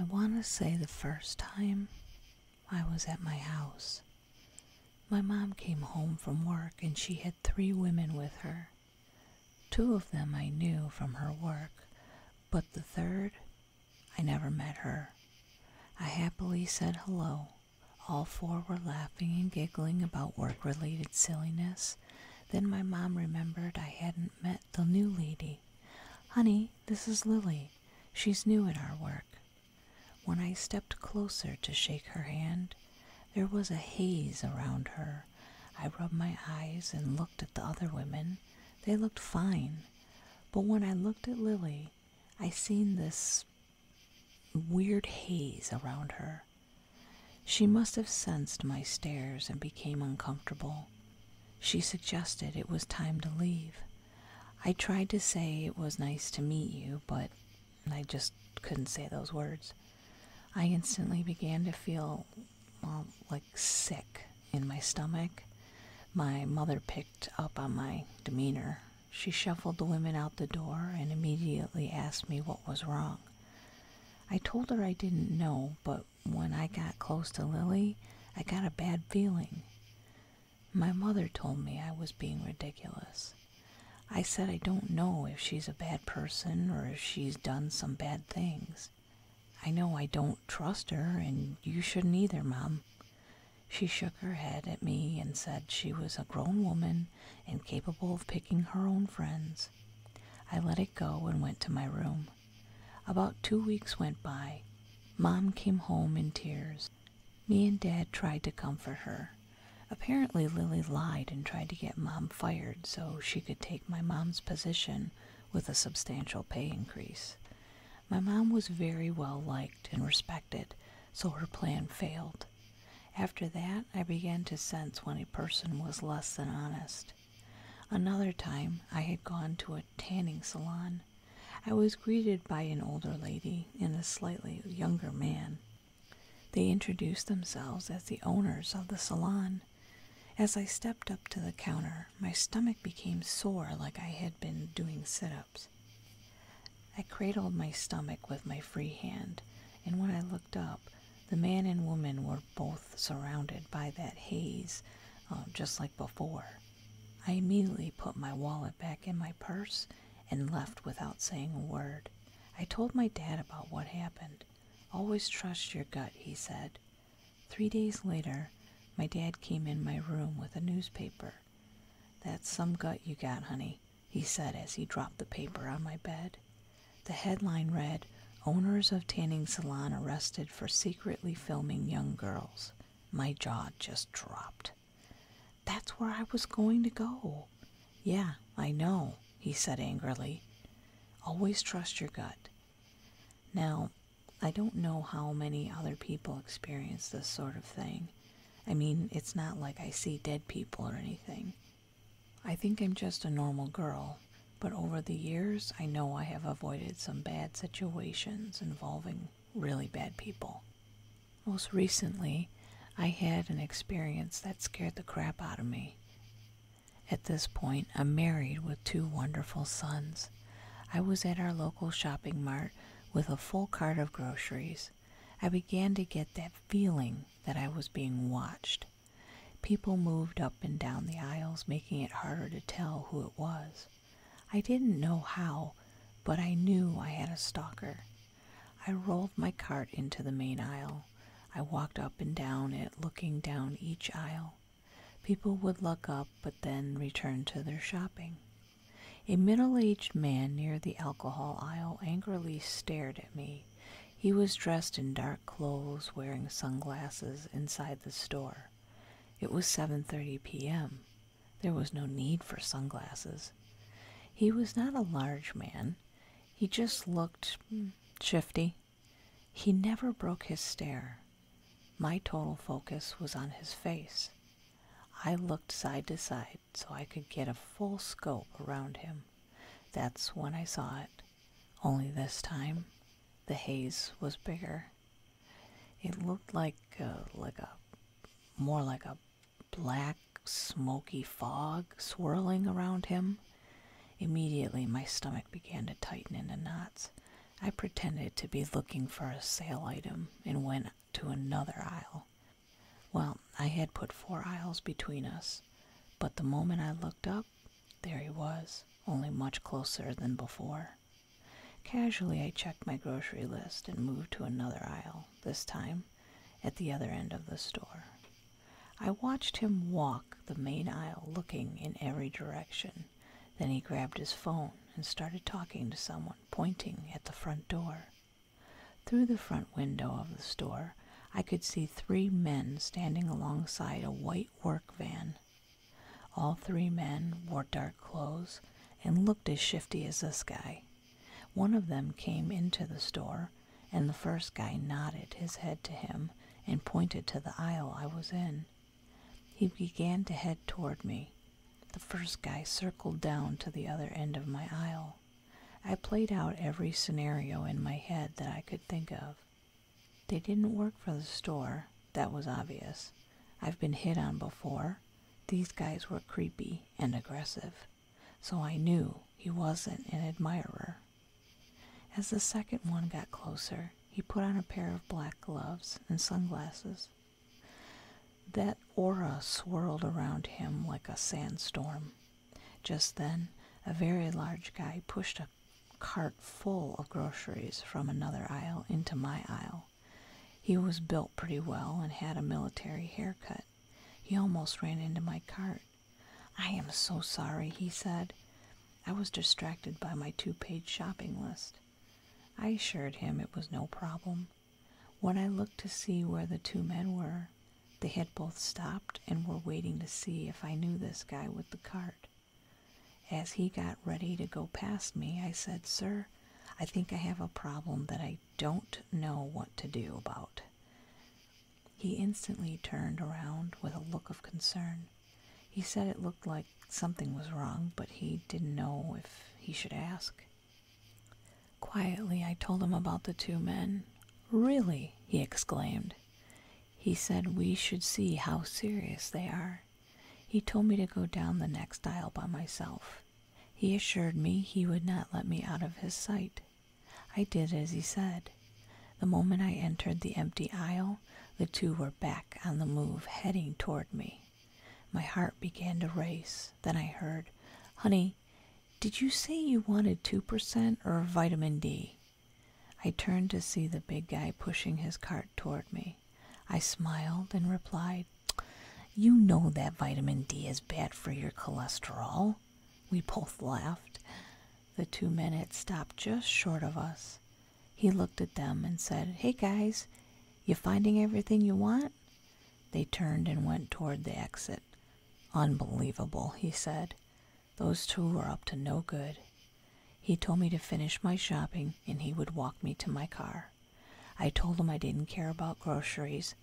I want to say the first time I was at my house. My mom came home from work and she had three women with her. Two of them I knew from her work, but the third, I never met her. I happily said hello. All four were laughing and giggling about work related silliness. Then my mom remembered I hadn't met the new lady. Honey, this is Lily. She's new in our work. When I stepped closer to shake her hand, there was a haze around her. I rubbed my eyes and looked at the other women. They looked fine. But when I looked at Lily, I seen this weird haze around her. She must have sensed my stares and became uncomfortable. She suggested it was time to leave. I tried to say it was nice to meet you, but I just couldn't say those words. I instantly began to feel well, like sick in my stomach. My mother picked up on my demeanor. She shuffled the women out the door and immediately asked me what was wrong. I told her I didn't know, but when I got close to Lily, I got a bad feeling. My mother told me I was being ridiculous. I said I don't know if she's a bad person or if she's done some bad things. I know I don't trust her, and you shouldn't either, Mom. She shook her head at me and said she was a grown woman and capable of picking her own friends. I let it go and went to my room. About two weeks went by. Mom came home in tears. Me and Dad tried to comfort her. Apparently, Lily lied and tried to get Mom fired so she could take my mom's position with a substantial pay increase. My mom was very well liked and respected, so her plan failed. After that, I began to sense when a person was less than honest. Another time, I had gone to a tanning salon. I was greeted by an older lady and a slightly younger man. They introduced themselves as the owners of the salon. As I stepped up to the counter, my stomach became sore like I had been doing sit ups. I cradled my stomach with my free hand, and when I looked up, the man and woman were both surrounded by that haze, uh, just like before. I immediately put my wallet back in my purse and left without saying a word. I told my dad about what happened. Always trust your gut, he said. Three days later, my dad came in my room with a newspaper. That's some gut you got, honey, he said as he dropped the paper on my bed. The headline read, Owners of Tanning Salon Arrested for Secretly Filming Young Girls. My jaw just dropped. That's where I was going to go. Yeah, I know, he said angrily. Always trust your gut. Now, I don't know how many other people experience this sort of thing. I mean, it's not like I see dead people or anything. I think I'm just a normal girl, but over the years, I know I have avoided some bad situations involving really bad people. Most recently, I had an experience that scared the crap out of me. At this point, I'm married with two wonderful sons. I was at our local shopping mart with a full cart of groceries. I began to get that feeling that I was being watched. People moved up and down the aisles, making it harder to tell who it was. I didn't know how, but I knew I had a stalker. I rolled my cart into the main aisle I walked up and down it, looking down each aisle. People would look up but then return to their shopping. A middle aged man near the alcohol aisle angrily stared at me. He was dressed in dark clothes, wearing sunglasses inside the store. It was 7:30 p.m. There was no need for sunglasses. He was not a large man. He just looked hmm, shifty he never broke his stare. My total focus was on his face. I looked side to side so I could get a full scope around him. That's when I saw it, only this time the haze was bigger. It looked like a, like a more like a black smoky fog swirling around him. Immediately, my stomach began to tighten into knots. I pretended to be looking for a sale item and went to another aisle. Well, I had put four aisles between us, but the moment I looked up, there he was, only much closer than before. Casually, I checked my grocery list and moved to another aisle, this time at the other end of the store. I watched him walk the main aisle looking in every direction. Then he grabbed his phone and started talking to someone, pointing at the front door. Through the front window of the store, I could see three men standing alongside a white work van. All three men wore dark clothes and looked as shifty as this guy. One of them came into the store and the first guy nodded his head to him and pointed to the aisle I was in. He began to head toward me. The first guy circled down to the other end of my aisle. I played out every scenario in my head that I could think of. They didn't work for the store, that was obvious. I've been hit on before. These guys were creepy and aggressive, so I knew he wasn't an admirer. As the second one got closer, he put on a pair of black gloves and sunglasses. That aura swirled around him like a sandstorm. Just then, a very large guy pushed a cart full of groceries from another aisle into my aisle. He was built pretty well and had a military haircut. He almost ran into my cart. I am so sorry, he said. I was distracted by my two page shopping list. I assured him it was no problem. When I looked to see where the two men were, they had both stopped and were waiting to see if I knew this guy with the cart. As he got ready to go past me, I said, Sir, I think I have a problem that I don't know what to do about. He instantly turned around with a look of concern. He said it looked like something was wrong, but he didn't know if he should ask. Quietly, I told him about the two men. Really? he exclaimed. He said we should see how serious they are. He told me to go down the next aisle by myself. He assured me he would not let me out of his sight. I did as he said. The moment I entered the empty aisle, the two were back on the move, heading toward me. My heart began to race. Then I heard, Honey, did you say you wanted 2% or vitamin D?" I turned to see the big guy pushing his cart toward me. I smiled and replied, You know that vitamin D is bad for your cholesterol. We both laughed. The two men had stopped just short of us. He looked at them and said, Hey guys, you finding everything you want? They turned and went toward the exit. Unbelievable, he said. Those two are up to no good. He told me to finish my shopping and he would walk me to my car. I told him I didn't care about groceries.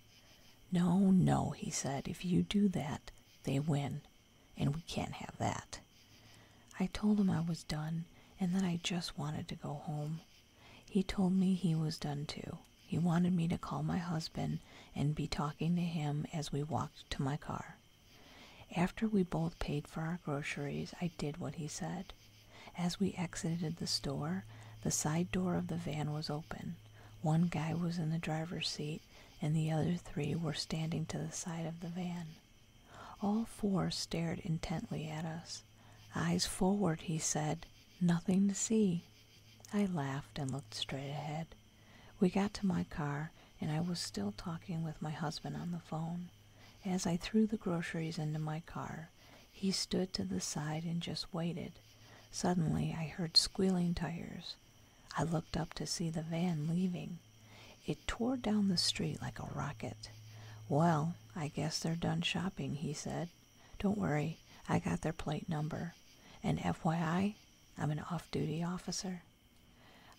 No, no, he said, if you do that, they win and we can't have that. I told him I was done and that I just wanted to go home. He told me he was done too. He wanted me to call my husband and be talking to him as we walked to my car. After we both paid for our groceries, I did what he said. As we exited the store, the side door of the van was open. One guy was in the driver's seat and the other three were standing to the side of the van. All four stared intently at us. Eyes forward, he said. Nothing to see. I laughed and looked straight ahead. We got to my car, and I was still talking with my husband on the phone. As I threw the groceries into my car, he stood to the side and just waited. Suddenly, I heard squealing tires. I looked up to see the van leaving. It tore down the street like a rocket. Well, I guess they're done shopping, he said. Don't worry, I got their plate number. And FYI, I'm an off duty officer.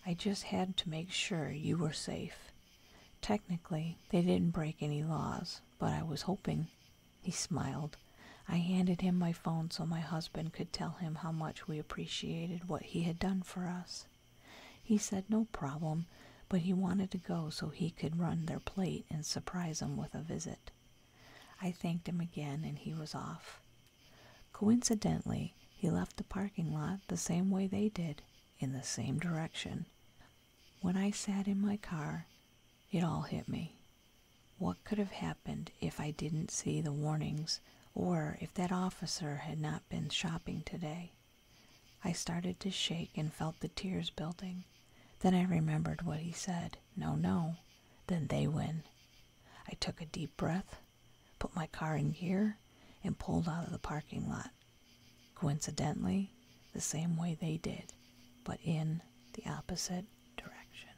I just had to make sure you were safe. Technically, they didn't break any laws, but I was hoping. He smiled. I handed him my phone so my husband could tell him how much we appreciated what he had done for us. He said no problem, but he wanted to go so he could run their plate and surprise them with a visit. I thanked him again and he was off. Coincidentally, he left the parking lot the same way they did, in the same direction. When I sat in my car, it all hit me. What could have happened if I didn't see the warnings or if that officer had not been shopping today. I started to shake and felt the tears building. Then I remembered what he said. No, no. Then they win. I took a deep breath, put my car in gear, and pulled out of the parking lot. Coincidentally, the same way they did, but in the opposite direction.